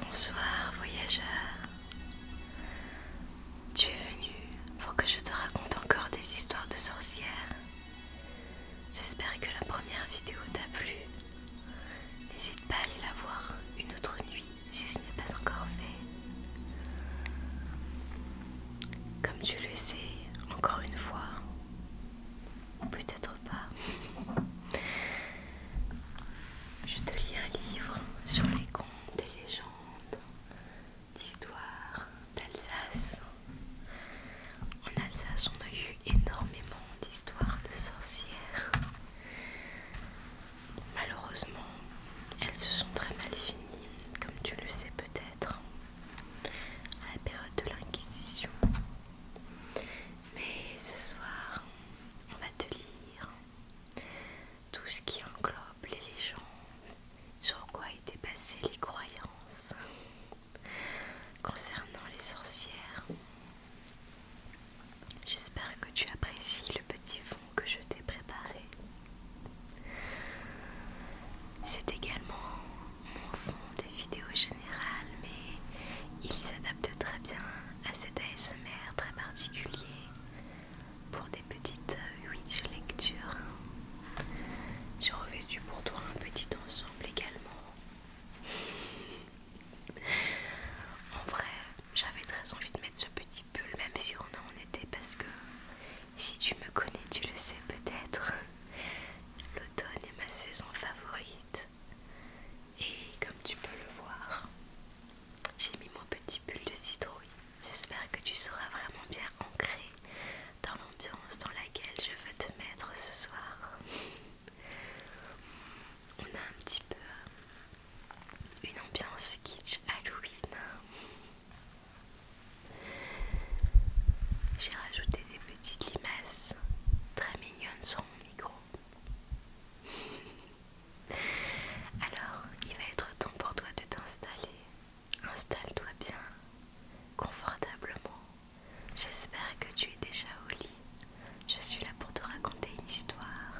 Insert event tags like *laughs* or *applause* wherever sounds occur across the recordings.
Bonsoir voyageur. Tu es venu pour que je te raconte encore des histoires de sorcières. J'espère que la première vidéo t'a plu. N'hésite pas à aller la voir une autre nuit si ce n'est pas encore fait. Comme tu le sais, encore une fois, Peut-être pas. Je te lis un livre sur les contes et légendes d'histoire d'Alsace. En Alsace, on a eu énormément d'histoires de sorcières. Malheureusement, elles se sont très mal finies, comme tu le sais peut-être à la période de l'Inquisition. Mais ce soir, on va te lire tout ce qui englobe les légendes, sur quoi étaient passées les croyances concernant les sorcières. J'espère que tu apprécies le petit fond que je t'ai préparé. C'est également m'en font des vidéos générales, mais ils s'adapte très bien à cet ASMR très particulier pour des petites witch euh, lectures. J'ai revêtu pour toi un petit ensemble également. En vrai, j'avais très envie de mettre ce petit pull, même si on en était, parce que si tu me connais, tu le sais peut-être. L'automne est ma saison favorite. Et comme tu peux le voir, j'ai mis mon petit pull de citrouille. J'espère que tu seras vraiment bien ancré dans l'ambiance dans laquelle je veux te mettre ce soir. *laughs* On a un petit peu euh, une ambiance kitsch Halloween. J'ai rajouté des petites limaces très mignonnes sur mon micro. *laughs* Alors, il va être temps pour toi de t'installer. Installe-toi bien, confortablement. J'espère que tu es déjà au lit. Je suis là pour te raconter une histoire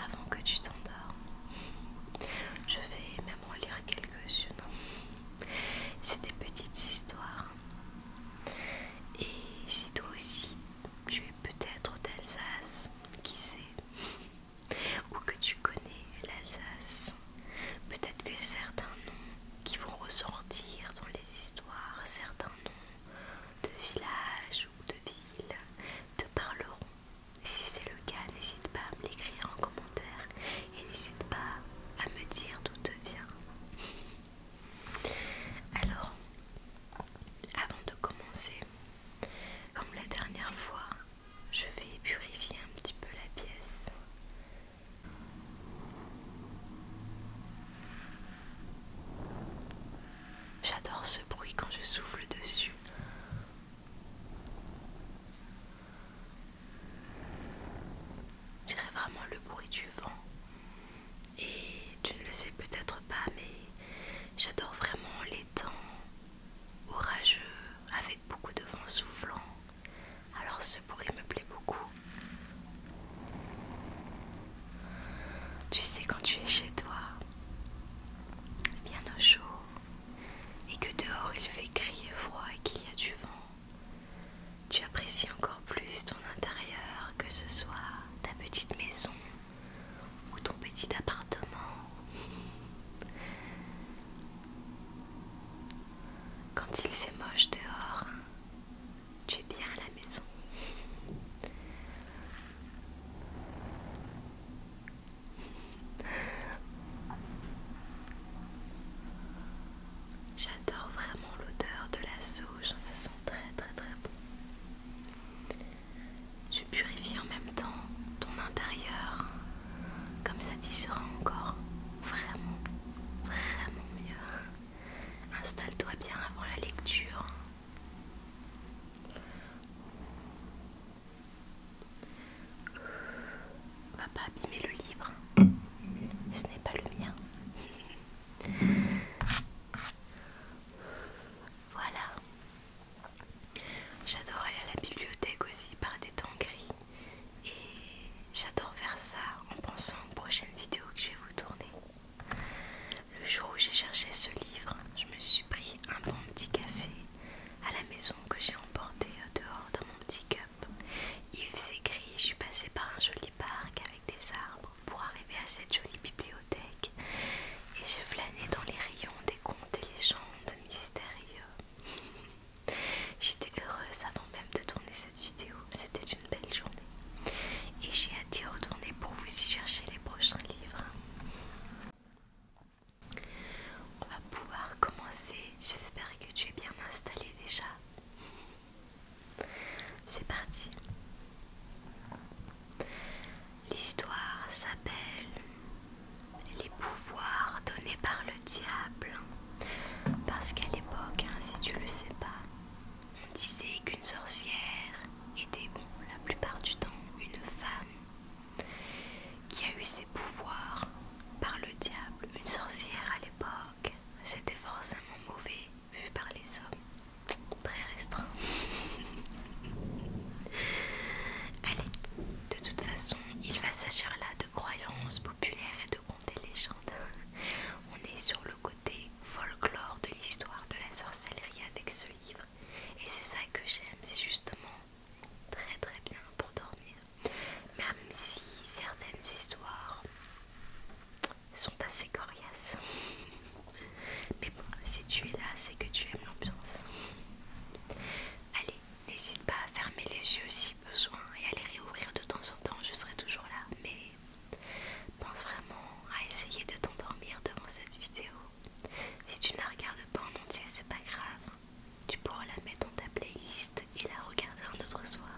avant que tu t'endormes. Je vais même en lire quelques-unes. C'est des petites histoires et si toi aussi tu es peut-être d'Alsace, qui sait, ou que tu connais l'Alsace, peut-être que certains noms qui vont ressortir dans les histoires, certains noms de villages ou de villes te parleront. Si c'est le cas, n'hésite pas à me l'écrire en commentaire et n'hésite pas à me dire d'où te viens. Alors, avant de commencer, comme la dernière fois, je vais épurifier un petit peu la pièce. J'adore ce bruit quand je souffle dessus. Je dirais vraiment le bruit du vent. Et tu ne le sais peut-être pas, mais j'adore vraiment les temps orageux avec beaucoup de vent soufflant. Alors ce bruit me plaît beaucoup. Tu sais quand tu es chez toi, bien au chaud, et que dehors il fait crier froid et qu'il y a du vent, tu apprécies encore plus ton intérieur, que ce soit ta petite maison ou ton petit appartement. Quand il fait moche dehors, tu es bien à la maison. J'adore vraiment l'odeur de la sauge, ça sent très très très bon. Je purifies en même temps ton intérieur, comme ça t'y sera encore vraiment, vraiment mieux. Installe-toi bien avant la lecture. On va pas abîmer le livre. Ce n'est pas le mien. *laughs* voilà. J'adore aller à la bibliothèque aussi par des temps gris. Et j'adore faire ça en pensant aux prochaines vidéos que je vais vous tourner. Le jour où j'ai cherché ce livre, je me suis pris un bon petit café à la maison que j'ai emporté euh, dehors dans mon petit Yves Je suis passée par un joli parc avec des arbres pour arriver à cette jolie bibliothèque et j'ai flâné dans les rayons des contes et légendes mystérieux. *laughs* J'étais heureuse avant même de tourner cette vidéo, c'était une belle journée et j'ai hâte d'y retourner pour vous y chercher les prochains livres. On va pouvoir commencer. J'espère que tu es bien installé déjà. C'est parti. L'histoire s'appelle Les pouvoirs donnés par le diable. Parce qu'à l'époque, hein, si tu le sais pas, on disait qu'une sorcière était bon, la plupart du temps une femme qui a eu ses pouvoirs par le diable. Une sorcière à l'époque c'était forcément mauvais vu par les hommes, très restreint. *laughs* Allez, de toute façon, il va s'agir là de croyances populaires et de contes et légendes. *laughs* On est sur le côté folklore de l'histoire de la sorcellerie avec ce livre, et c'est ça que j'aime, c'est justement très très bien pour dormir, même si certaines histoires sont assez coriaces. *laughs* Mais bon, si tu es là, c'est que tu aimes l'ambiance. Allez, n'hésite pas à fermer les yeux si besoin et à les réouvrir de temps en temps, je serai toujours là. Mais pense vraiment à essayer de t'endormir devant cette vidéo. Si tu ne la regardes pas en entier, c'est pas grave. Tu pourras la mettre dans ta playlist et la regarder un autre soir.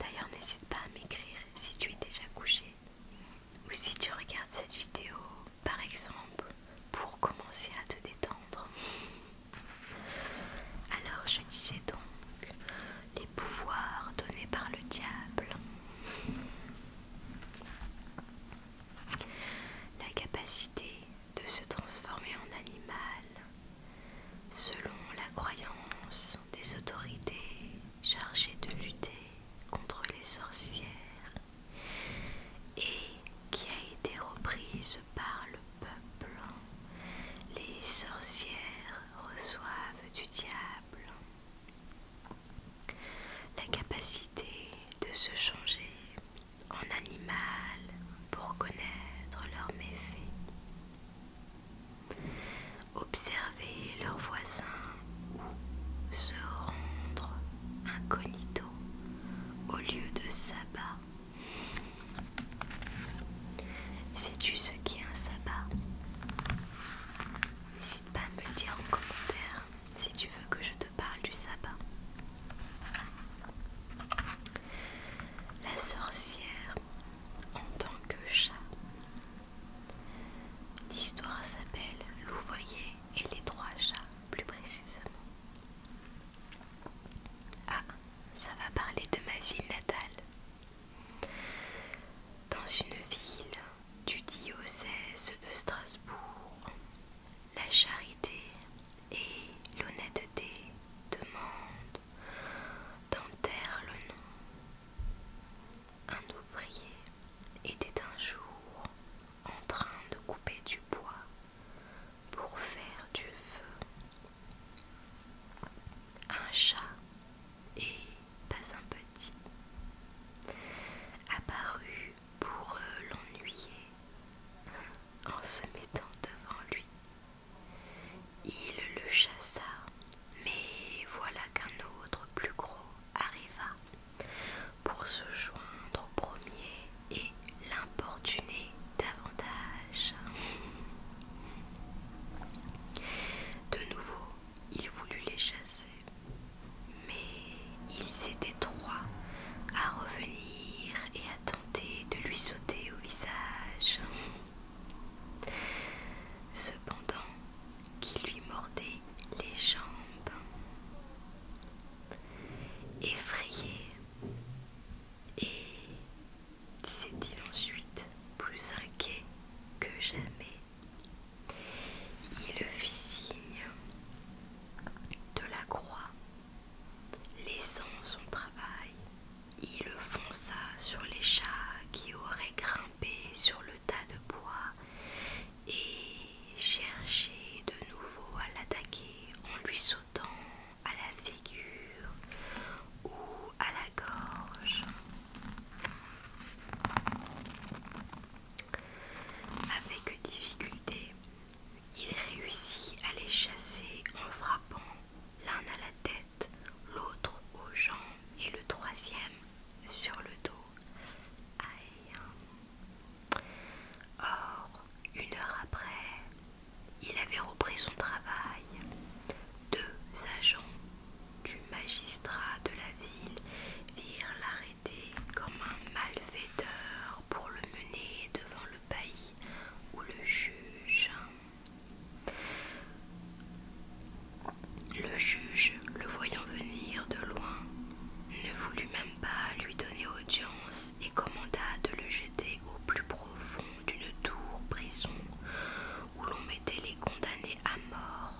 D'ailleurs, n'hésite pas à m'écrire si tu es déjà couché ou si tu regardes cette vidéo, par exemple, pour commencer à te détendre. Alors, je disais donc les pouvoirs donnés par le diable. La capacité de se transformer en animal selon la croyance des autorités chargées de lutter contre les sorcières et qui a été reprise par le peuple. Les sorcières reçoivent du diable la capacité de se changer en animal pour connaître leurs méfaits, observer leurs voisins ou se rendre incognito au lieu de sabbat. Sais-tu ce qu'est un sabbat N'hésite pas à me le dire en commentaire si tu veux que je te parle du sabbat. La sorcière en tant que chat. L'histoire s'appelle L'ouvrier et les trois chats, plus précisément. Ah, ça va parler de ma ville natale. Dans une ville du diocèse de Strasbourg, la charité et l'honnêteté demande d'enterre le nom. Un ouvrier était un jour en train de couper du bois pour faire du feu. Un chat, et pas un petit, apparut pour l'ennuyer en se mettant devant lui. Il le chassa, mais voilà qu'un autre plus gros arriva pour se joindre au premier et l'importuner davantage. De nouveau, il voulut les chasser, mais ils étaient trois à revenir et attendre de lui sauter au visage. Cependant, qui lui mordait les jambes. Effrayé, et sest il ensuite, plus inquiet que jamais, il fit signe de la croix Laissant son travail, il fonça sur les chats qui auraient grimpé sur le tas de bois et cherchait de nouveau à l'attaquer en lui sautant à la figure ou à la gorge. Avec difficulté, il réussit à les chasser en frappant l'un à la tête, l'autre aux jambes et le troisième sur le dos. Or, une heure après, il avait repris son travail. Deux agents du magistrat de la ville virent l'arrêter comme un malfaiteur pour le mener devant le bailli où le juge. Le juge, le voyant venir de loin, ne voulut même pas lui donner audience et commanda de le jeter au plus profond d'une tour prison où l'on mettait les condamnés à mort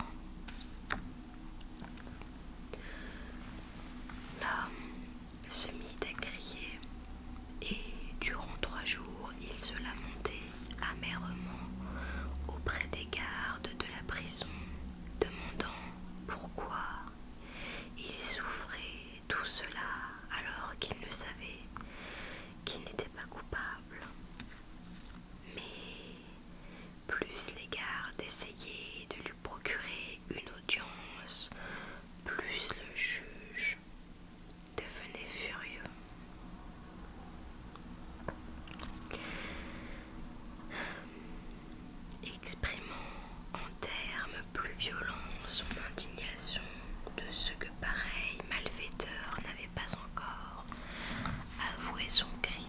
se mit à crier et durant trois jours il se lamentait amèrement auprès des gardes de la prison, demandant pourquoi il souffrait tout cela alors qu'il ne savait qu'il n'était pas coupable. Mais plus les gardes essayaient de lui procurer une audience, plus le juge devenait furieux, exprimant en termes plus violents son indignation de ce que pareil malfaiteur n'avait pas encore avoué son crime.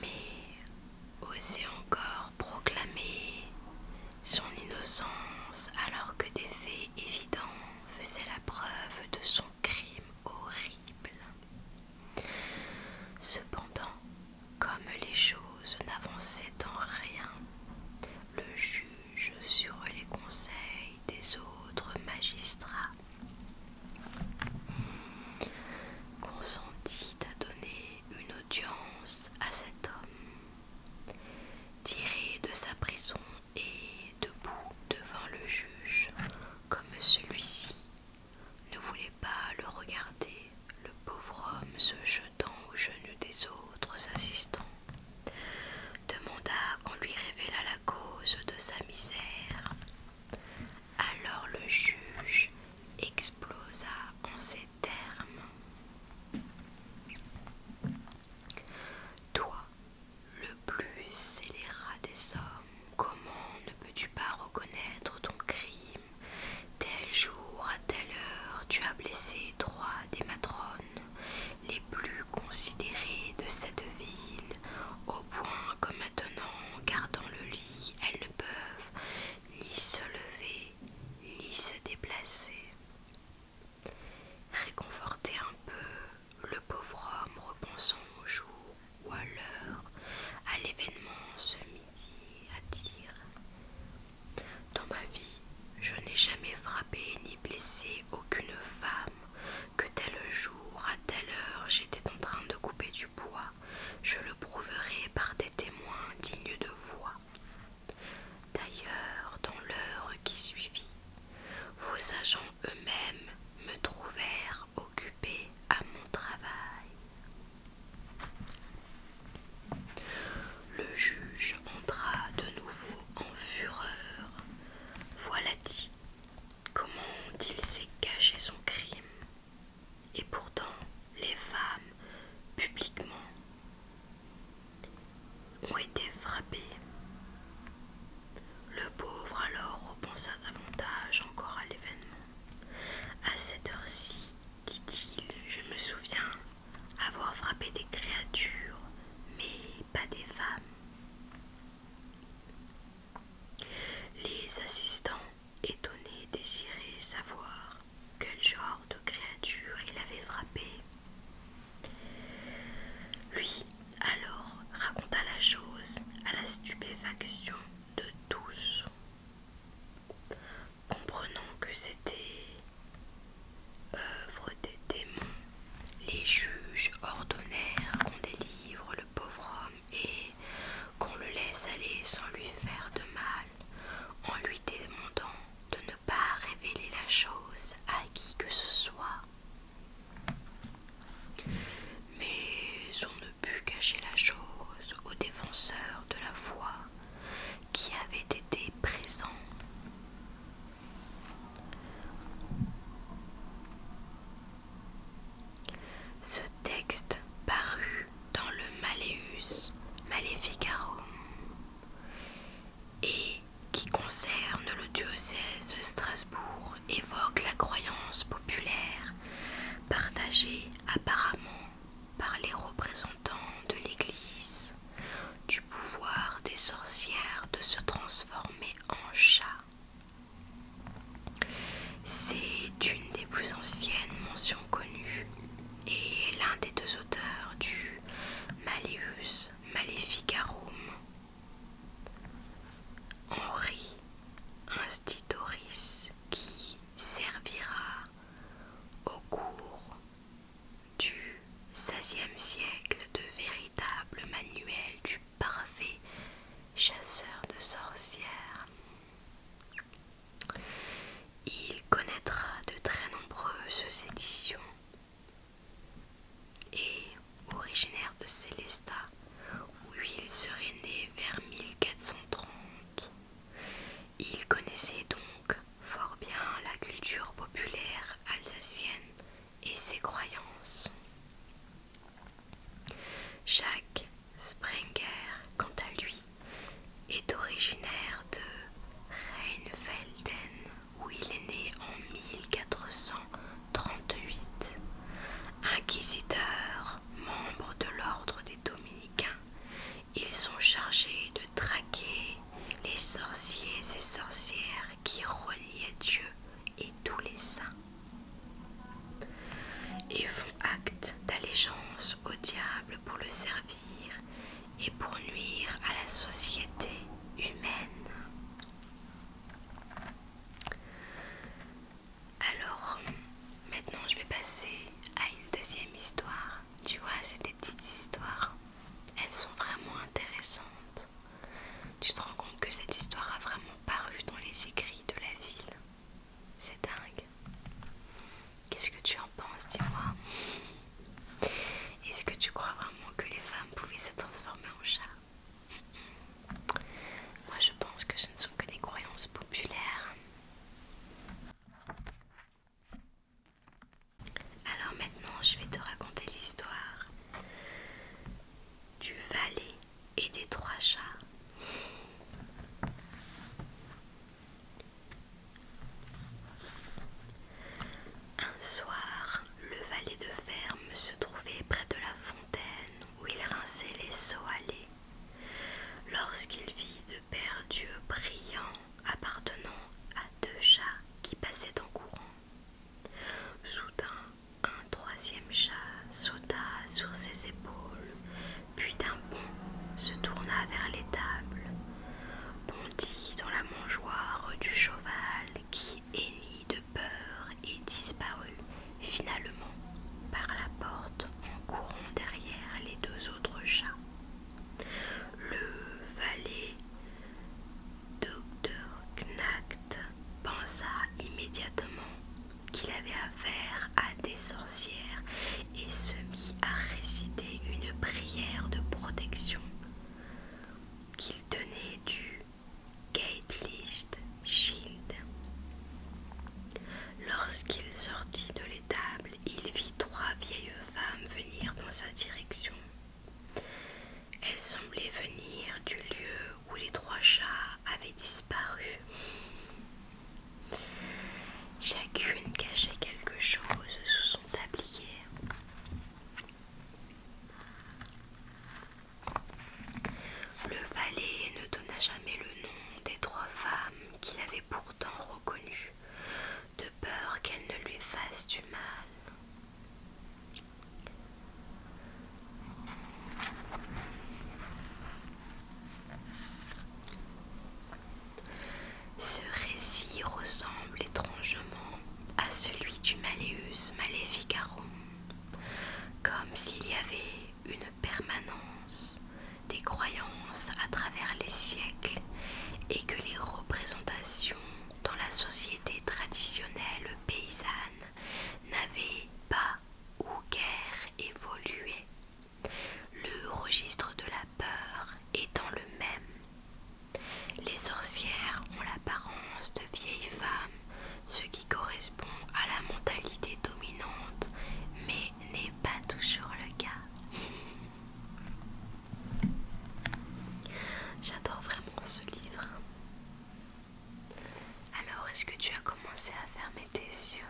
Mais oser encore proclamer son innocence alors que des faits évidents faisaient la preuve de son crime horrible. Cependant, comme les choses n'avançaient en rien, le juge sur les conseils des autres magistrats consentit à donner une audience à cet homme, tiré de sa prison et debout devant le juge, comme celui-ci ne voulait pas le regarder, le pauvre homme se jetant aux genoux des autres assistants demanda qu'on lui révélât la cause de sa misère alors le juge explosa en ces termes. Toi, le plus scélérat des hommes, comment ne peux-tu pas reconnaître ton crime Tel jour, à telle heure, tu as blessé trois des matrones, les plus considérées de cette ville, au point que maintenant, gardant le elles ne peuvent ni se lever, ni se déplacer. Réconforter un peu le pauvre homme repensant au jour ou à l'heure, à l'événement ce midi, à dire Dans ma vie, je n'ai jamais frappé ni blessé aucune femme, que tel jour, à telle heure, j'étais en train de couper du bois je le prouverai par des témoins dignes de voix D'ailleurs, dans l'heure qui suivit, vos agents eux-mêmes me trouvèrent occupé à mon travail. Le juge entra de nouveau en fureur. Voilà dit, Comment il s'est caché son crime Et pourtant, les femmes, publiquement, ont été frappées. Le pauvre alors repensa davantage encore à l'événement. À cette heure-ci, dit-il, je me souviens avoir frappé des créatures, mais pas des femmes. Les assistants étonné désiré savoir quel genre de créature il avait frappé. Lui alors raconta la chose à la stupéfaction de tous, comprenant que c'était œuvre des démons. Les juges ordonnèrent qu'on délivre le pauvre homme et qu'on le laisse aller sans lui faire de mal, en lui demandant de ne pas révéler la chose à qui que ce soit. Mais on ne put cacher la chose aux défenseurs de la foi qui avaient été présents. Ce texte paru dans le Malleus Maleficarum et qui concerne le diocèse de Strasbourg évoque la croyance populaire partagée apparemment par les représentants de l'Église du pouvoir des sorcières de se transformer en chat c'est une des plus anciennes mentions connues et l'un des deux auteurs du Malleus Maleficarum, Henri Institoris, qui servira au cours du 16 16e siècle de véritable manuel du parfait chasseur de sorcières il connaîtra de très nombreuses éditions et, originaire de Célestat, où il serait né vers 1430, il connaissait donc fort bien la culture populaire alsacienne et ses croyances. Jacques Sprenger, quant à lui, est originaire de Reinfelden, où il est né en 1438, inquisiteur, membre de l'ordre des dominicains. Ils sont chargés de traquer les sorciers et sorcières qui reniaient Dieu et tous les saints et font acte d'allégeance au diable pour le servir et pour nuire à la société humaine. Alors, maintenant je vais passer à une deuxième histoire. Tu vois, c'est des petites histoires. Elles sont vraiment intéressantes. Tu te rends compte que cette histoire a vraiment paru dans les écrits de la ville. C'est dingue. Qu'est-ce que tu en penses, dis-moi Est-ce que tu crois vraiment que les femmes pouvaient se transformer en chats Moi, je pense que ce ne sont que des croyances populaires. Alors maintenant, je vais te raconter l'histoire du valet et des trois chats. Un soir, le valet de ferme se trouvait près de la fontaine où il rinçait les seaux à Lorsqu'il vit deux paires d'yeux brillants appartenant à deux chats qui passaient en courant, soudain un troisième chat sauta sur ses épaules, puis d'un bond se tourna vers l'étable, bondit dans la mangeoire du cheval qui hennit de peur et disparut finalement par la porte en courant derrière les deux autres chats. Le valet Dr. Knacht pensa immédiatement qu'il avait affaire à des sorcières et se mit à réciter une prière de protection qu'il tenait du Gatelicht Shield. Lorsqu'il sortit de l'étable, il vit trois vieilles femmes venir dans sa direction. Elles semblaient venir du lieu où les trois chars avait disparu. Chacune cachait quelque chose sous son tablier. Le valet ne donna jamais le nom des trois femmes qu'il avait pourtant reconnues, de peur qu'elles ne lui fassent du mal. Ce récit ressemble étrangement à celui du Malleus Maleficarum, comme s'il y avait une permanence des croyances à travers les siècles et que les représentations dans la société traditionnelle paysanne n'avaient pas ou guère évolué le registre de la peur étant le même, les sorcières ont l'apparence de vieilles femmes, ce qui correspond à la mentalité dominante, mais n'est pas toujours le cas. *laughs* J'adore vraiment ce livre. Alors, est-ce que tu as commencé à fermer tes yeux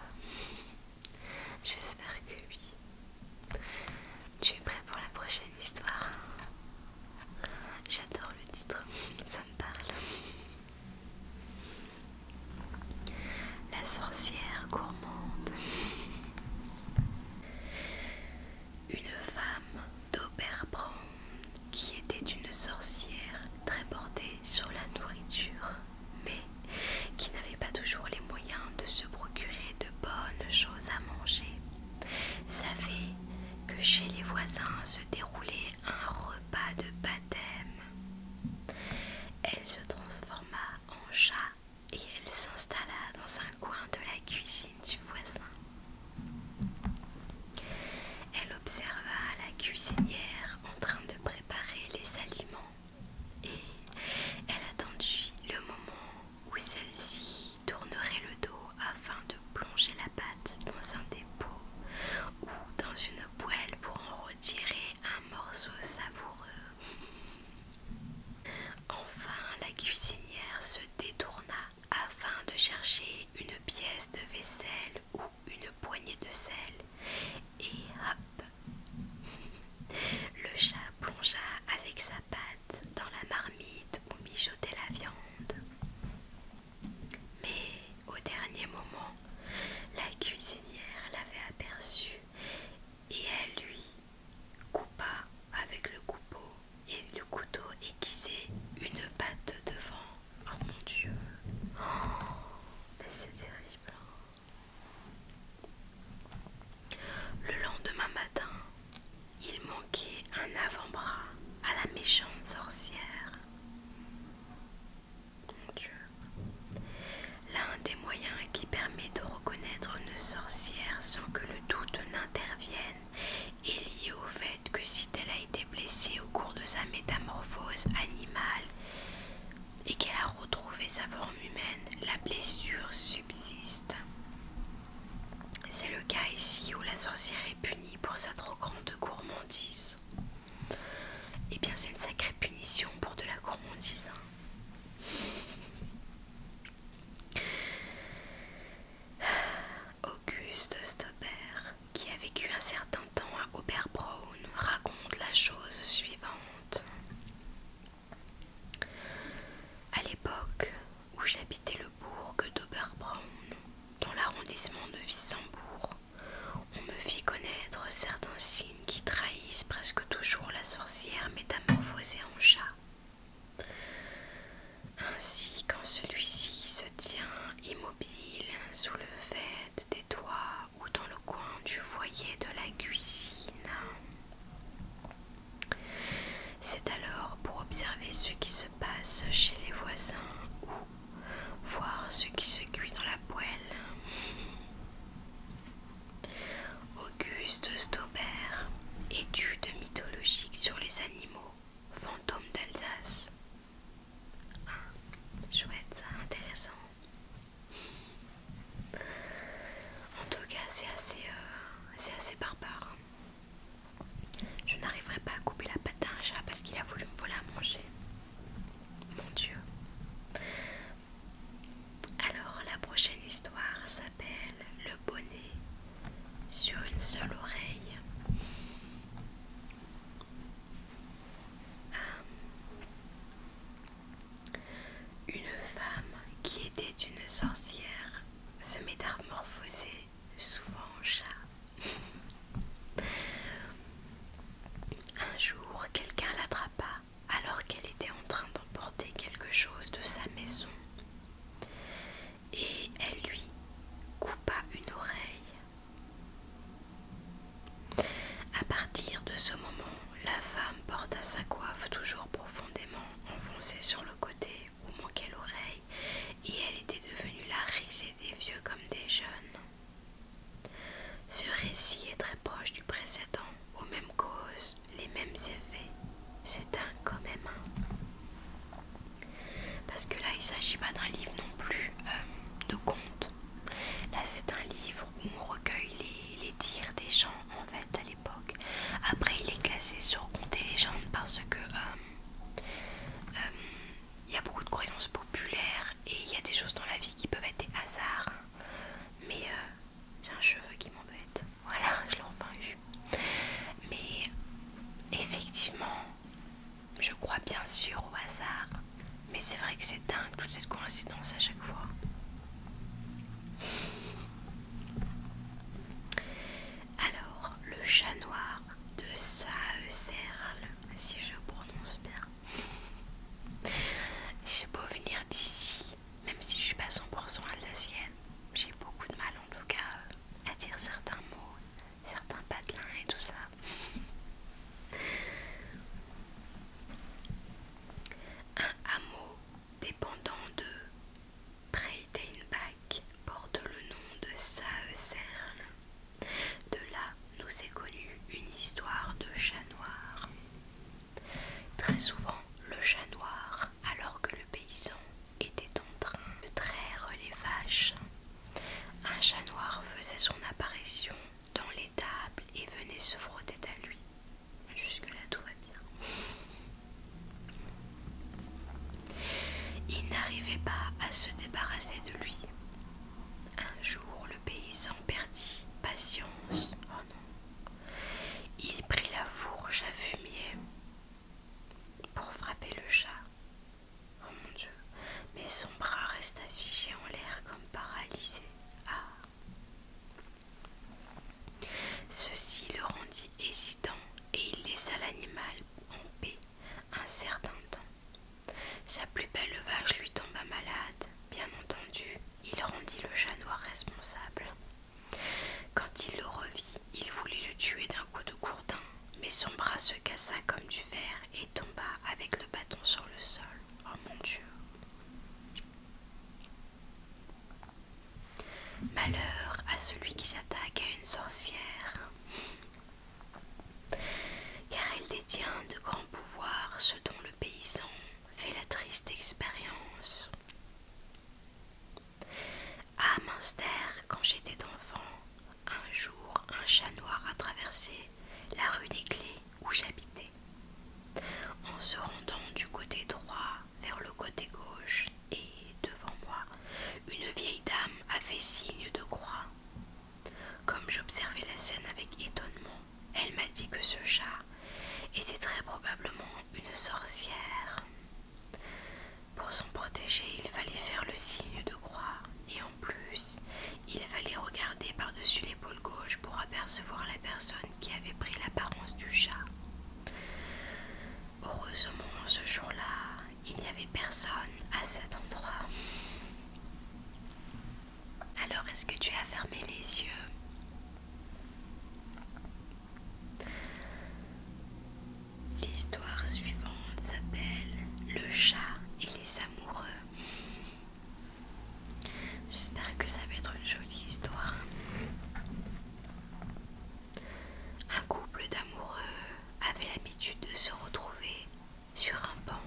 J'espère que oui. Tu es prêt pour la prochaine histoire J'adore le titre, ça me parle. La sorcière gourmande. Une femme d'Auberbron qui était une sorcière très portée sur la nourriture mais qui n'avait pas toujours les moyens de se procurer de bonnes choses à manger, savait que chez les voisins se déroulait un repas de baptême. Elle se transforma en chat et elle s'installa dans un coin de la cuisine du voisin. Elle observa la cuisinière en train de préparer les aliments et elle attendit le moment où celle-ci tournerait le dos afin de plonger la pâte dans un dépôt ou dans une poêle pour en retirer un morceau savoureux. Enfin, la cuisinière se détourna afin de chercher une pièce de vaisselle ou une poignée de sel et hop Le chat plongea avec sa patte dans la marmite où mijotait la viande. Mais au dernier moment, la cuisinière l'avait aperçu et elle lui coupa avec le coupeau et le couteau aiguisé une patte devant. Oh mon dieu! Oh, mais c'est terrible! Hein. Le lendemain matin, il manquait un avant-bras à la méchante sorcière. L'un des moyens qui permet de reconnaître une sorcière sans que le doute n'intervienne est lié au fait que si elle a été blessée au cours de sa métamorphose animale, et qu'elle a retrouvé sa forme humaine, la blessure subsiste. C'est le cas ici où la sorcière est punie pour sa trop grande gourmandise. Eh bien, c'est une sacrée punition pour de la gourmandise. Hein. *sighs* Auguste Stopper, qui a vécu un certain temps à Oberbrown, raconte la chose suivante. À l'époque où j'habitais le bourg d'Oberbraun, dans l'arrondissement de Wissembourg, on me fit connaître certains signes qui trahissent presque toujours la sorcière métamorphosée en chat. Ainsi, quand celui-ci se tient immobile sous le fait des toits ou dans le coin du foyer de la cuisine. C'est alors pour observer ce qui se passe chez les voisins ou voir ce qui se cuit dans la poêle. Auguste Staubert, étude mythologique sur les animaux, fantômes d'Alsace. Ah, chouette, intéressant. En tout cas, c'est assez, euh, C'est assez barbare. Hein. Je n'arriverai pas à couper la patte d'un chat parce qu'il a voulu me voler manger. Mon Dieu. Alors, la prochaine histoire s'appelle Le bonnet sur une seule oreille. Euh, une femme qui était une sorcière se métamorphosait souvent en chat. Un jour, quelqu'un l'attrapa alors qu'elle était en train d'emporter quelque chose de sa maison. Et elle lui coupa une oreille. À partir de ce moment, la femme porta sa coiffe toujours profondément enfoncée sur le côté où manquait l'oreille, et elle était devenue la risée des vieux comme des jeunes. Ce récit est très proche du précédent, aux mêmes causes, les mêmes effets. C'est un quand même Parce que là, il s'agit pas d'un livre non plus euh, de conte. Là, c'est un livre on recueille les, dires des gens en fait à l'époque. Après il est classé sur compter les parce que euh, euh, il y a beaucoup de croyances populaires et il y a des choses dans la vie qui peuvent être des hasards. Mais euh, j'ai un cheveu qui m'embête. Voilà, *laughs* je l'ai enfin eu. Mais effectivement, je crois bien sûr au hasard. Mais c'est vrai que c'est dingue toute cette coïncidence à chaque fois. Alors, le chat noir de Serle, si je prononce bien. J'ai beau venir d'ici, même si je suis pas 100% alsacienne, j'ai beaucoup de mal en tout cas à dire certains mots, certains patelins et tout ça. Un hameau dépendant de Breitenbach porte le nom de Saeserl. De là nous est connue une histoire de chat noir. Très souvent, le chat noir, alors que le paysan était en train de traire les vaches, un chat noir faisait son apparition dans l'étable et venait se frotter à lui. Jusque-là, tout va bien. Il n'arrivait pas à se débarrasser de lui. Un jour, le paysan perdit patience. Oh non. Il prit la fourche à fumier pour frapper le chat. Oh mon Dieu, mais son bras resta figé en l'air comme paralysé. Ah Ceci le rendit hésitant et il laissa l'animal en paix un certain temps. Sa plus belle vache lui tomba malade, bien entendu, il rendit le chat noir responsable. Quand il le revit, il voulait le tuer d'un coup de gourdin, mais son bras se cassa comme du verre et tomba avec le bâton sur le sol. Oh mon Dieu! Malheur à celui qui s'attaque à une sorcière, car elle détient de grands pouvoirs, ce dont le paysan fait la triste expérience. À munster quand j'étais enfant, un jour un chat noir a traversé la rue des Clés où j'habitais. En se rendant du côté droit vers le côté gauche et devant moi, une vieille dame a fait signe de croix. Comme j'observais la scène avec étonnement, elle m'a dit que ce chat était très probablement une sorcière. Pour s'en protéger, il fallait faire le signe de croix et en plus, il fallait regarder par-dessus l'épaule gauche pour apercevoir la personne qui avait pris l'apparence du chat. Heureusement, ce jour-là, il n'y avait personne à cet endroit. Alors, est-ce que tu as fermé les yeux L'histoire suivante s'appelle Le chat et les amoureux. J'espère que ça va être une jolie histoire. Un couple d'amoureux avait l'habitude de se retrouver sur un banc.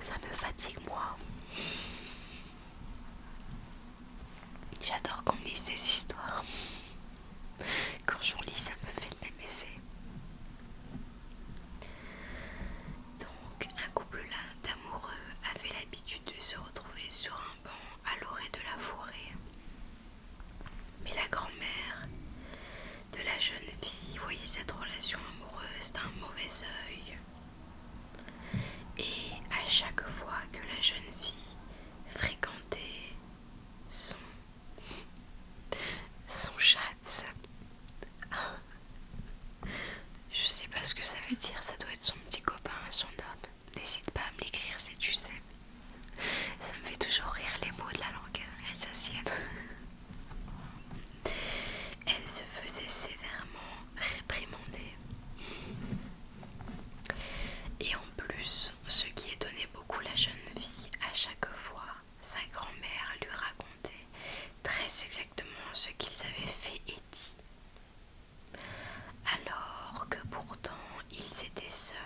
Ça me fatigue moi. J'adore qu'on lise ces histoires. Quand j'en lis, ça me fait le même effet. Donc, un couple d'amoureux avait l'habitude de se retrouver sur un banc à l'orée de la forêt. Mais la grand-mère de la jeune fille voyait cette relation amoureuse d'un mauvais œil. Et à chaque fois que la jeune fille fréquentait son, son chat *laughs* Je sais pas ce que ça veut dire, ça doit être son petit copain son homme. N'hésite pas à me l'écrire si tu sais. Ça me fait toujours rire les mots de la langue hein, Elle s'assied *laughs* Elle se faisait sévèrement réprimander. Et en plus, ce qui étonnait beaucoup la jeune fille à chaque fois, sa grand-mère lui racontait très exactement ce qu'ils avaient fait et dit. Alors que pourtant ils étaient seuls.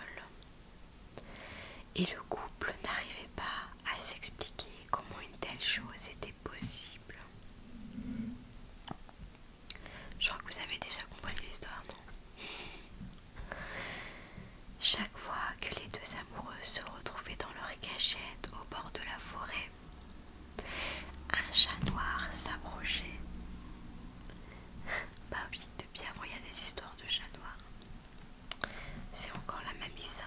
Et le couple n'arrivait pas à s'expliquer comment une telle chose était possible. Je crois que vous avez déjà compris l'histoire, non Chaque fois que les deux amoureux se retrouvaient dans leur cachette au bord de la forêt un chat noir s'approchait. Bah oui, bien, avant il y a des histoires de chat noir. C'est encore la même ça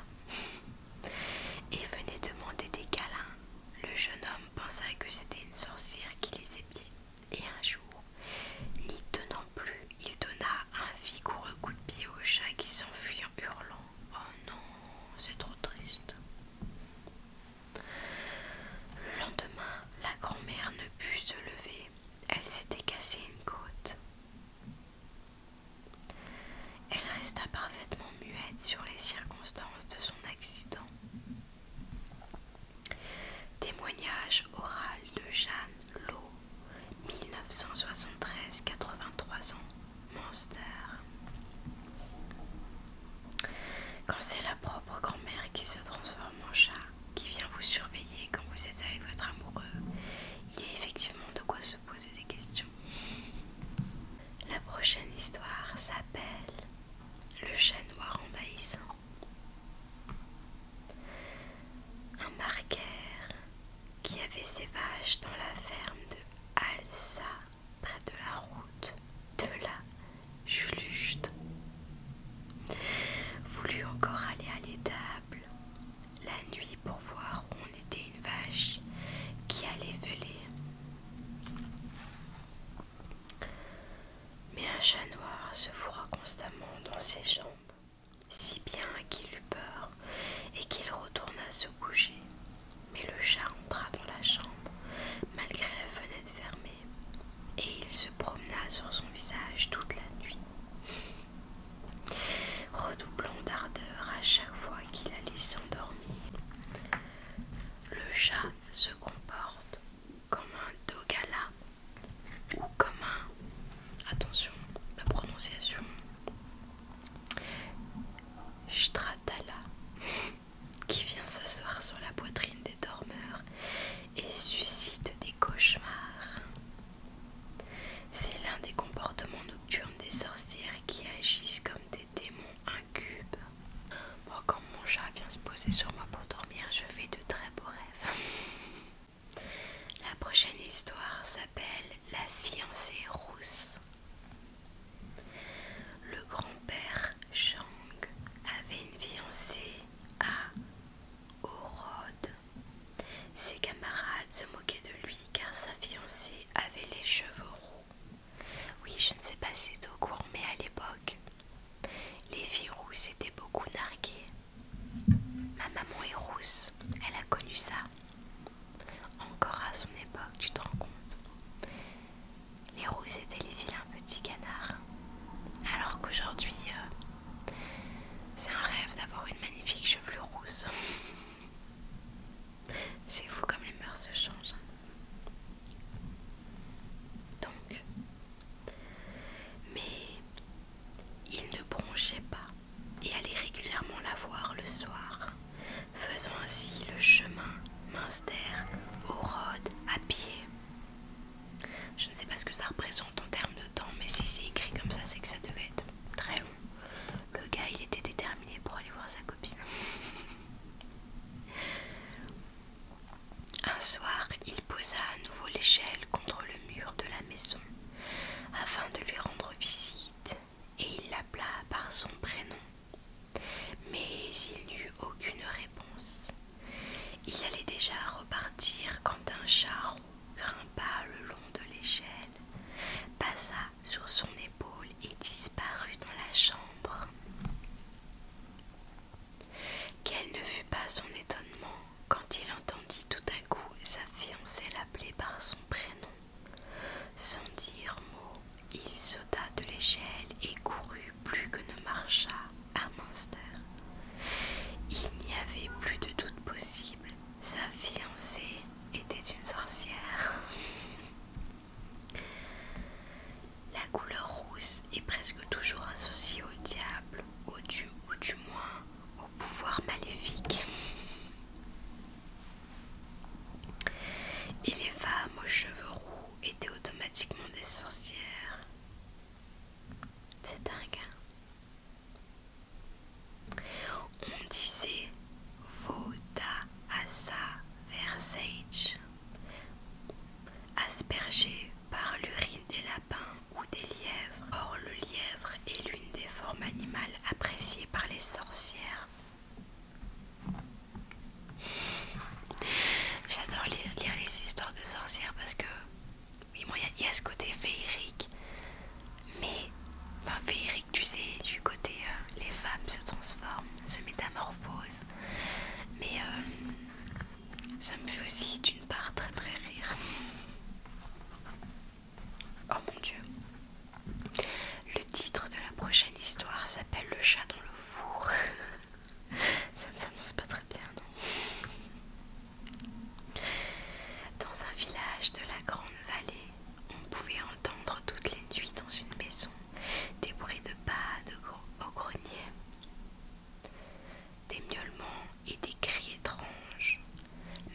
Et venait demander des câlins. Le jeune homme pensa que c'était une sorcière qui les épiait. Et un jour, n'y tenant plus, il donna un vigoureux coup de pied au chat qui s'enfuyant hurlant. Oh non, c'est trop triste. Le lendemain, la grand-mère ne put se lever. Elle s'était cassée une côte. Elle resta parfaitement muette sur les circonstances de son accident. Témoignage oral de Jeanne Lowe, 1973-83 ans, Monster. Quand c'est la propre grand-mère qui se transforme en chat, qui vient vous surveiller quand vous êtes avec votre amoureux, il y a effectivement de quoi se poser des questions. La prochaine histoire s'appelle Le chat noir envahissant. Un marqueur qui avait ses vaches dans la ferme de Alsa, près de la route de la Juluste. Voulut encore aller à l'étable la nuit pour voir où on était une vache qui allait veler. Mais un chat noir se fourra constamment dans ses jambes, si bien qu'il eut peur et qu'il retourna se coucher. Mais le chat entra dans la chambre, malgré la fenêtre fermée, et il se promena sur son visage toute la nuit, redoublant d'ardeur à chaque fois qu'il allait s'endormir. Le chat se comporte comme un dogala ou comme un... Attention, ma prononciation qui vient s'asseoir sur la poitrine des dormeurs et suscite des cauchemars. C'est l'un des comportements nocturnes des sorcières qui agissent comme des démons incubes. Bon, quand mon chat vient se poser sur moi pour dormir, je fais de très beaux rêves. La prochaine histoire s'appelle La fiancée rousse. Le grand-père Chang avait une fiancée à Orod. Ses camarades se moquaient de lui car sa fiancée avait les cheveux roux. Oui, je ne sais pas si c'est au cours, mais à l'époque, les filles rousses étaient beaucoup narguées. Ma maman est rousse, elle a connu ça. Encore à son époque, tu te rends compte. Les roux étaient les un petit canard. Alors qu'aujourd'hui, euh, c'est un rêve d'avoir une magnifique chevelure rousse. *laughs* c'est fou comme les mœurs se changent. Hein. Donc, mais il ne bronchait pas et allait régulièrement la voir le soir faisant ainsi le chemin Minster au Rhodes à pied. Je ne sais pas ce que ça représente en termes de temps, mais si c'est écrit comme ça, c'est que ça devait être très long. Le gars, il était déterminé pour aller voir sa copine. Un soir, il posa à nouveau l'échelle contre le mur de la maison afin de lui rendre visite et il l'appela par son prénom. Mais il n'eut aucune réponse. Il allait déjà repartir quand un char grimpa le long de l'échelle, passa sur son épaule et disparut dans la chambre. Quel ne fut pas son étonnement quand il entendit tout à coup sa fiancée l'appeler par son prénom. Sans dire mot, il sauta de l'échelle et courut plus que ne marcha à Monster. Il n'y avait plus de doute possible, sa fiancée était une sorcière. *laughs* La couleur rousse est presque toujours associée au diable, au dieu ou du moins au pouvoir maléfique. Et les femmes aux cheveux roux étaient automatiquement des sorcières. C'est dingue. Hein. On disait Voda Asa Versage, aspergé par l'urine des lapins ou des lièvres. Or, le lièvre est l'une des formes animales appréciées par les sorcières. J'adore lire, les histoires de sorcières parce que, oui, il y, a ce côté féerique, mais, enfin, féerique, tu sais, du côté euh, les femmes se transforment, se métamorphosent, mais euh, ça me fait aussi d'une part très très rire. Oh mon dieu, le titre de la prochaine histoire s'appelle Le chat dans le four. *laughs* Ça ne s'annonce pas très bien, non Dans un village de la Grande Vallée, on pouvait entendre toutes les nuits dans une maison des bruits de pas de au grenier, des miaulements et des cris étranges.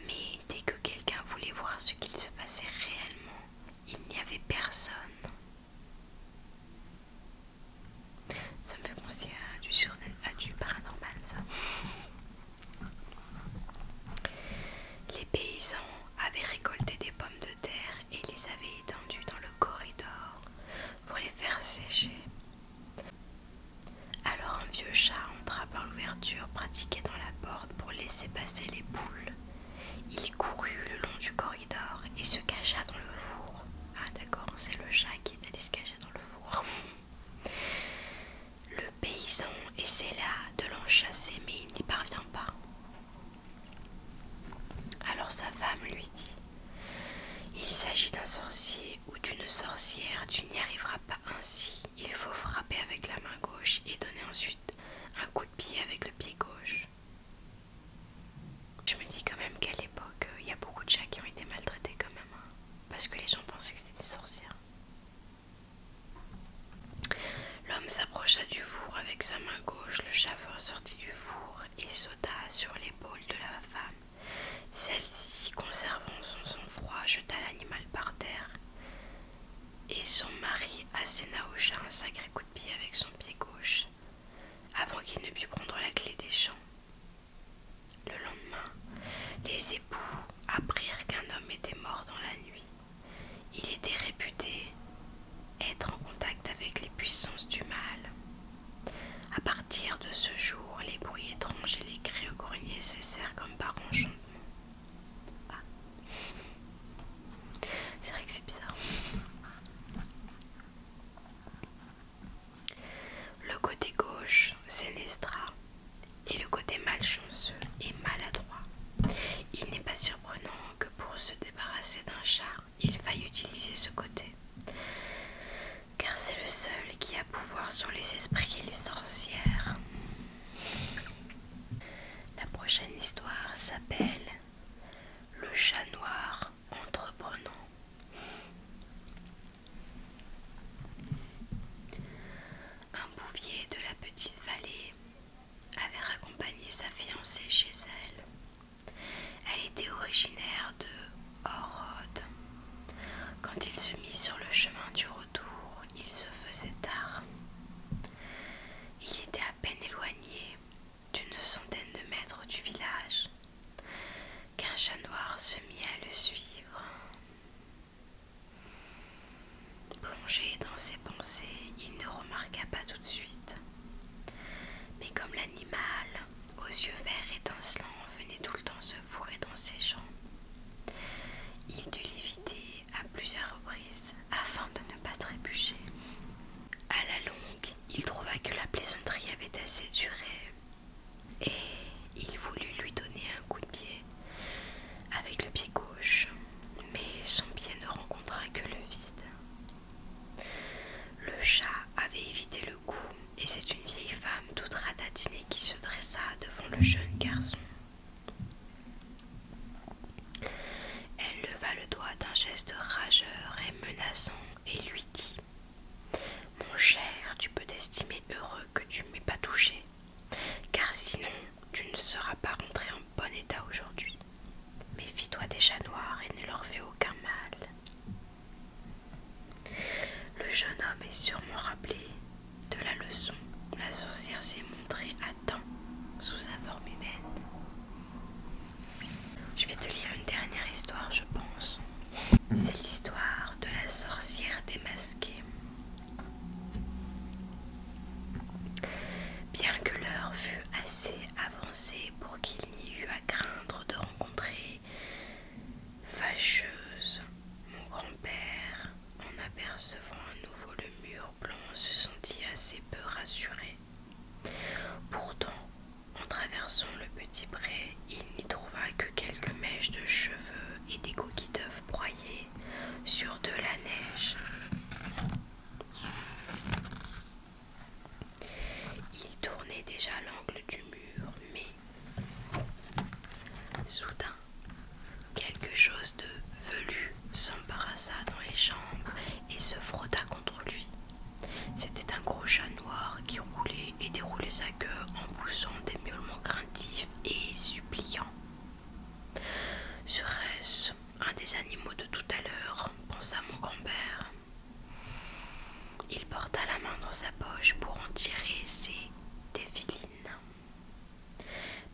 Mais dès que quelqu'un voulait voir ce qu'il se passait réellement, il n'y avait personne. Ça me fait penser à du, du paranormal, ça. Les paysans avaient récolté des pommes de terre et les avaient étendues dans le corridor pour les faire sécher. Alors un vieux chat entra par l'ouverture pratiquée dans la porte pour laisser passer les poules il courut le long du corridor et se cacha dans le four. Ah d'accord, c'est le chat qui est allé se cacher dans le four. *laughs* Le paysan essaie là de l'enchasser mais il n'y parvient pas. Alors sa femme lui dit, il s'agit d'un sorcier ou d'une sorcière, tu n'y arriveras pas ainsi. Il faut frapper avec la main gauche et donner ensuite un coup de pied avec le pied gauche. Je me dis quand même qu'à l'époque, euh, il y a beaucoup de chats qui ont été maltraités quand même, hein. parce que les gens pensaient que c'était des L'homme s'approcha du four avec sa main gauche, le chaveur sortit du four et sauta sur l'épaule de la femme. Celle-ci, conservant son sang-froid, jeta l'animal par terre et son mari asséna au chat un sacré avec son pied gauche avant qu'il ne pût prendre la clé des champs. Le lendemain, les époux apprirent qu'un homme était mort dans la nuit. Il était réputé être en contact avec les puissances du mal. À partir de ce jour, les bruits étranges et les cris au grenier cessèrent comme par enchantement. Ah, c'est vrai que c'est bizarre. Le côté gauche, c'est Nestra. et le côté malchanceux et maladroit. Il n'est pas surprenant que pour se débarrasser d'un char, il faille utiliser ce côté, car c'est le seul qui a pouvoir sur les esprits et les sorcières. La prochaine histoire s'appelle le chat noir entreprenant. Un bouvier de la petite vallée avait raccompagné sa fiancée chez elle. Elle était originaire de Horode. Quand il se mit sur le chemin du retour, il se faisait tard. Il était à peine éloigné d'une centaine de mètres du village, qu'un chat noir se mit à le suivre. Plongé dans ses pensées, il ne remarqua pas tout de suite. Mais comme l'animal, aux yeux verts étincelants, venait tout le temps se fourrer dans ses jambes, il dut l'éviter à plusieurs reprises afin de ne pas trébucher. À la longue, il trouva que la plaisanterie avait assez duré et il voulut lui donner un coup de pied avec le pied gauche, mais son pied ne rencontra que le vide. Le chat avait évité le coup et c'est une vieille femme toute ratatinée qui se dressa devant le jeune garçon. Elle leva le doigt d'un geste rageur et menaçant et lui dit Mon cher, tu peux t'estimer heureux que tu m'aies pas touché, car sinon tu ne seras pas rentré en bon état aujourd'hui. Mais Méfie-toi des chats noirs et ne leur fais aucun mal. Le jeune homme est sûrement rappelé de la leçon. La sorcière s'est montrée Temps sous sa forme humaine. Je vais te lire une dernière histoire, je pense. C'est l'histoire de la sorcière démasquée. Bien que l'heure fût assez avancée pour qu'il n'y eût à craindre de rencontrer fâcheuse, mon grand-père, en apercevant à nouveau le mur blanc, se sentit assez peu rassuré. Pourtant, en traversant le petit pré, il n'y trouva que quelques mèches de cheveux et des coquilles d'œufs broyées sur de la neige. Il tournait déjà l'angle du mur, mais soudain, quelque chose de velu s'embarrassa dans les chambres et se frotta contre lui. C'était un gros chat noir qui roulait et déroulait sa queue en poussant des miaulements craintifs et suppliants. Serait-ce un des animaux de tout à l'heure pensa mon grand-père. Il porta la main dans sa poche pour en tirer ses défilines.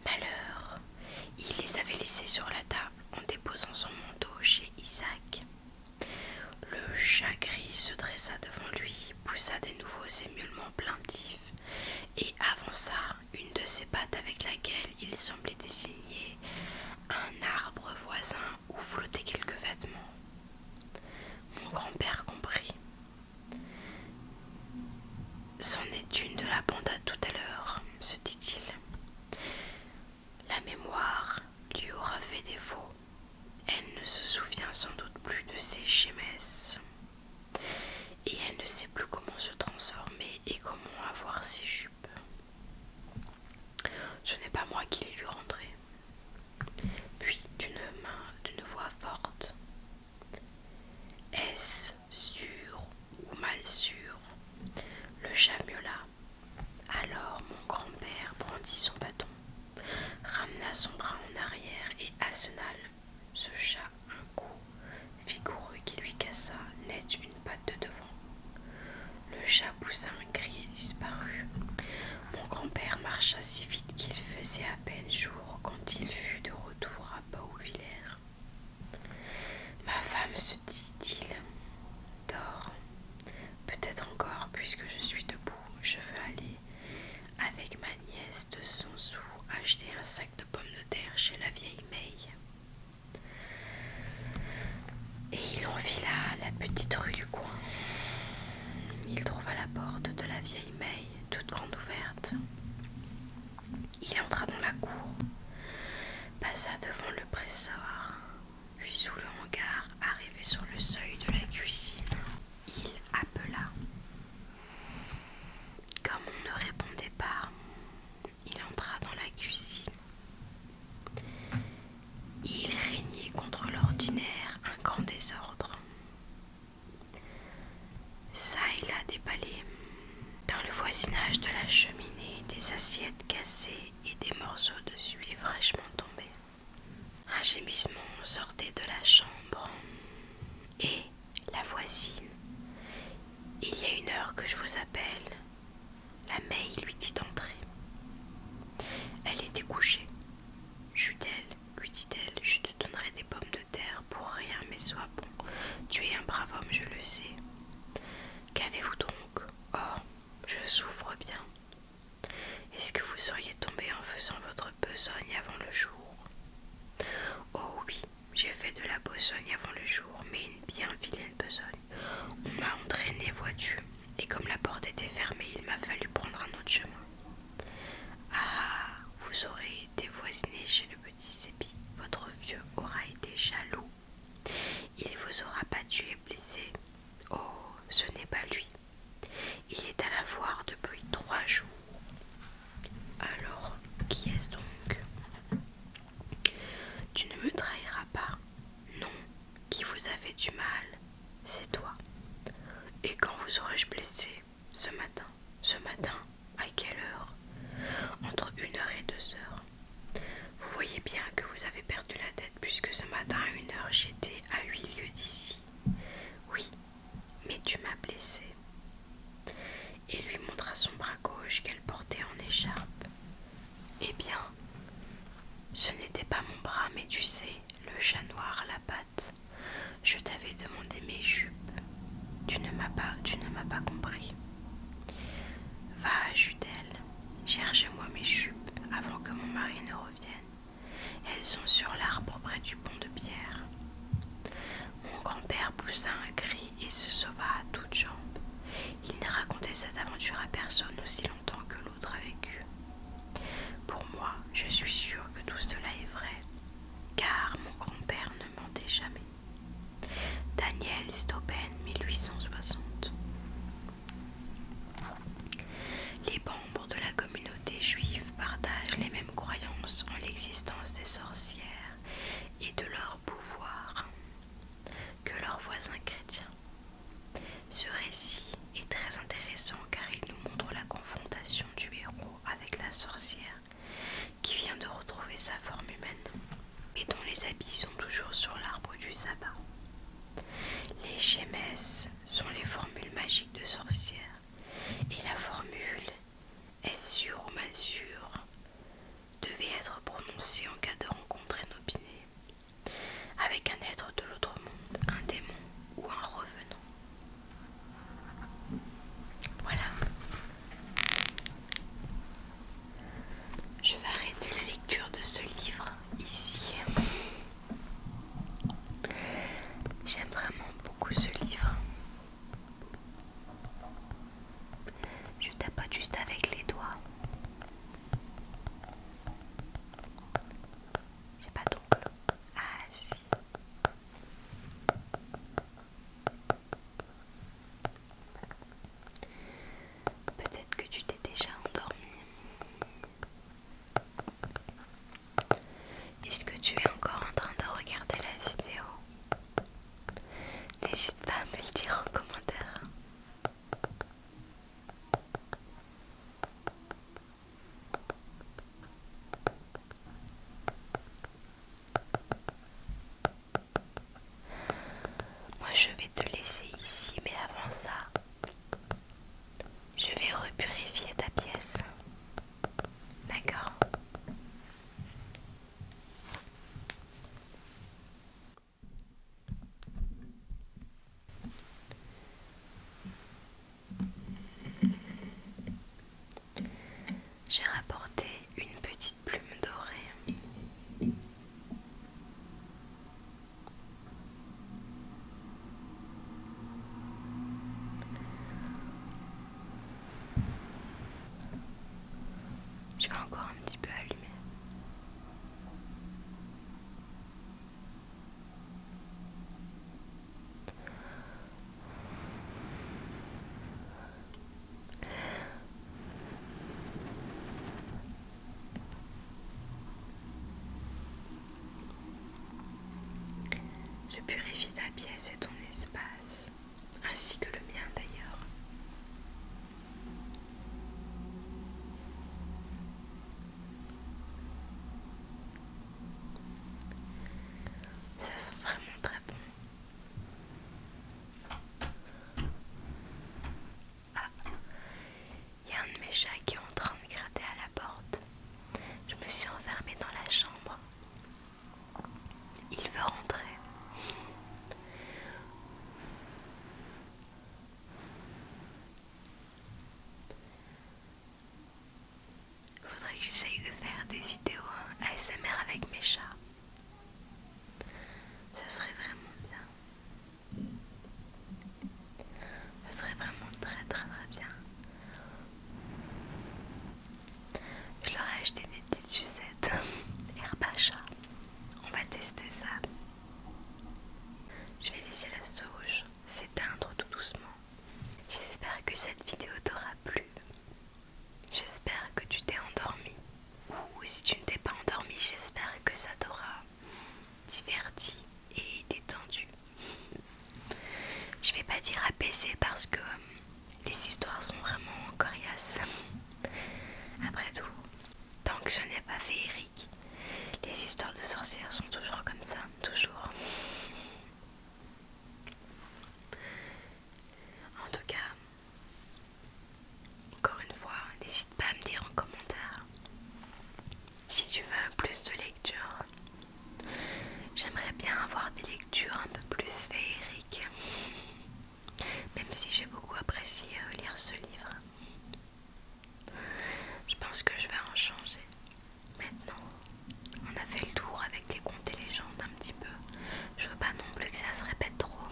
Malheur, il les avait laissées sur la table en déposant son manteau chez Isaac. Le chat gris se dressa devant lui, poussa des nouveaux émulements plaintifs et avança une de ses pattes avec laquelle il semblait dessiner un arbre voisin où flottaient quelques vêtements. Mon grand-père comprit. C'en est une de la bande à tout à l'heure, se dit-il. La mémoire lui aura fait défaut. Elle ne se souvient sans doute plus de ses chemesses. Et elle ne sait plus comment se transformer et comment avoir ses jupes. Ce n'est pas moi qui l'ai lui rendrai. Puis d'une main, d'une voix forte. Est-ce sûr ou mal sûr Le chat alors mon grand-père brandit son bâton, ramena son bras en arrière et assena se chat un coup vigoureux qui lui cassa net une patte de devant. Le chat poussa un cri et disparut. Mon grand-père marcha si vite qu'il faisait à peine jour quand il fut de retour à Ma femme se dit-il, dort, Peut-être encore, puisque je suis debout, je veux aller avec ma nièce de son sous acheter un sac de pommes de terre chez la vieille Meille. Et il enfila la petite rue du coin. Il trouva la porte de la vieille Meille, toute grande ouverte. Il entra dans la cour passa devant le pressoir, puis sous le hangar, arrivé sur le seuil de la cuisine, il appela. Comme on ne répondait pas, il entra dans la cuisine. Il régnait contre l'ordinaire un grand désordre. Ça et là déballé. Dans le voisinage de la cheminée, des assiettes cassées et des morceaux de suie fraîchement tombés. Un gémissement sortait de la chambre. Et la voisine. Il y a une heure que je vous appelle. La meille lui dit d'entrer. Elle était couchée. jut'elle lui dit-elle, je te donnerai des pommes de terre pour rien, mais sois bon. Tu es un brave homme, je le sais. Qu'avez-vous donc Oh, je souffre bien. Est-ce que vous seriez tombé en faisant votre besogne avant le jour Oh oui, j'ai fait de la besogne avant le jour, mais une bien vilaine besogne. On m'a entraîné, voiture. et comme la porte était fermée, il m'a fallu prendre un autre chemin. Ah, vous aurez été voisiné chez le petit Sépi, votre vieux aura été jaloux il vous aura battu et blessé. Oh, ce n'est pas lui. Il est à la voir depuis trois jours. Alors, qui est-ce donc Tu ne me trahiras pas. Non, qui vous a fait du mal, c'est toi. Et quand vous aurais-je blessé Ce matin. Ce matin À quelle heure Entre une heure et deux heures. Vous voyez bien que vous avez perdu la tête puisque ce matin à une heure j'étais à huit lieues d'ici. Oui, mais tu m'as blessé. Et lui montra son bras gauche qu'elle portait en écharpe. Eh bien, ce n'était pas mon bras, mais tu sais, le chat noir la patte. Je t'avais demandé mes jupes. Tu ne m'as pas, tu ne m'as pas compris. Va, Judel, Cherchez-moi mes chupes avant que mon mari ne revienne. Elles sont sur l'arbre près du pont de pierre. Mon grand-père poussa un cri et se sauva à toutes jambes. Il ne racontait cette aventure à personne aussi longtemps que l'autre a vécu. Pour moi, je suis sûre que tout cela est vrai, car mon grand-père ne mentait jamais. Daniel Stauben, 1860. Les membres de la communauté juive partagent les mêmes croyances en l'existence des sorcières et de leur pouvoir que leurs voisins chrétiens. Ce récit est très intéressant car il nous montre la confrontation du héros avec la sorcière qui vient de retrouver sa forme humaine et dont les habits sont toujours sur l'arbre du sabbat. Les gms sont les formules magiques de sorcières et la formule est-ce sûre ou mal sûre devait être prononcée en cas de rencontre inopinée avec un être de l'autre monde, un démon ou un revenant. Voilà. Je vais arrêter la lecture de ce livre ici. J'aime vraiment beaucoup ce livre. Je tapote juste avec les doigts. C'est pas d'ongle. Ah si. Peut-être que tu t'es déjà endormi. Est-ce que tu es encore en train de regarder la vidéo N'hésite pas à me le dire en commentaire. Moi je vais te laisser ici, mais avant ça, je vais repurifier ta pièce. D'accord j'ai rapporté une petite plume dorée. Je vais encore un petit peu allumé. Je purifie ta pièce et ton espace, ainsi que le mien d'ailleurs. Ça sent vraiment très bon. Ah Il y a un de mes chats qui est en train de gratter à la porte. Je me suis enfermée dans la chambre. Il veut rentrer. Faudrait que j'essaye de faire des vidéos ASMR avec mes chats. Ça serait vraiment bien. Ça serait vraiment très très très bien. Je leur ai acheté des petites sucettes *laughs* Herbacha On va tester ça. Je vais laisser la sauge s'éteindre tout doucement. J'espère que cette vidéo t'aura plu. J'espère que tu t'es endormi. Ou si tu ne t'es pas endormi, j'espère que ça t'aura diverti et détendu. Je vais pas dire apaisé parce que les histoires sont vraiment coriaces. Après tout, tant que je n'ai pas fait Eric, les histoires de sorcières sont toujours comme ça, toujours. En tout cas, encore une fois, n'hésite pas à me dire en commentaire si tu veux plus de lectures. J'aimerais bien avoir des lectures un peu plus féeriques, *laughs* même si j'ai beaucoup apprécié euh, lire ce livre. Je pense que je vais en changer. Maintenant, on a fait le tour avec les contes et légendes un petit peu. Je veux pas non plus que ça se répète trop. *laughs*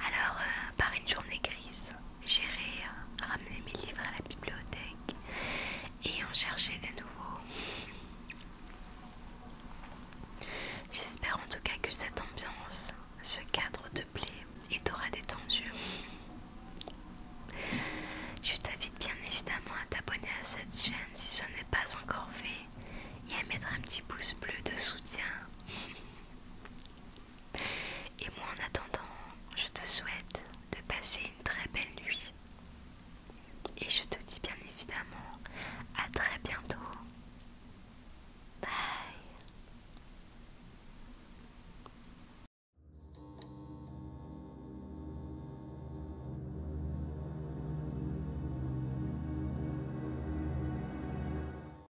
Alors, euh, par une journée grise, j'irai euh, ramener mes livres à la bibliothèque et en chercher des nouveaux. J'espère en tout cas que cette ambiance, ce cadre te plaît et t'aura détendu. Je t'invite bien évidemment à t'abonner à cette chaîne si ce n'est pas encore fait et à mettre un petit pouce bleu de soutien. Et moi en attendant, je te souhaite de passer une très belle nuit. Et je te dis bien évidemment à très bientôt. Bye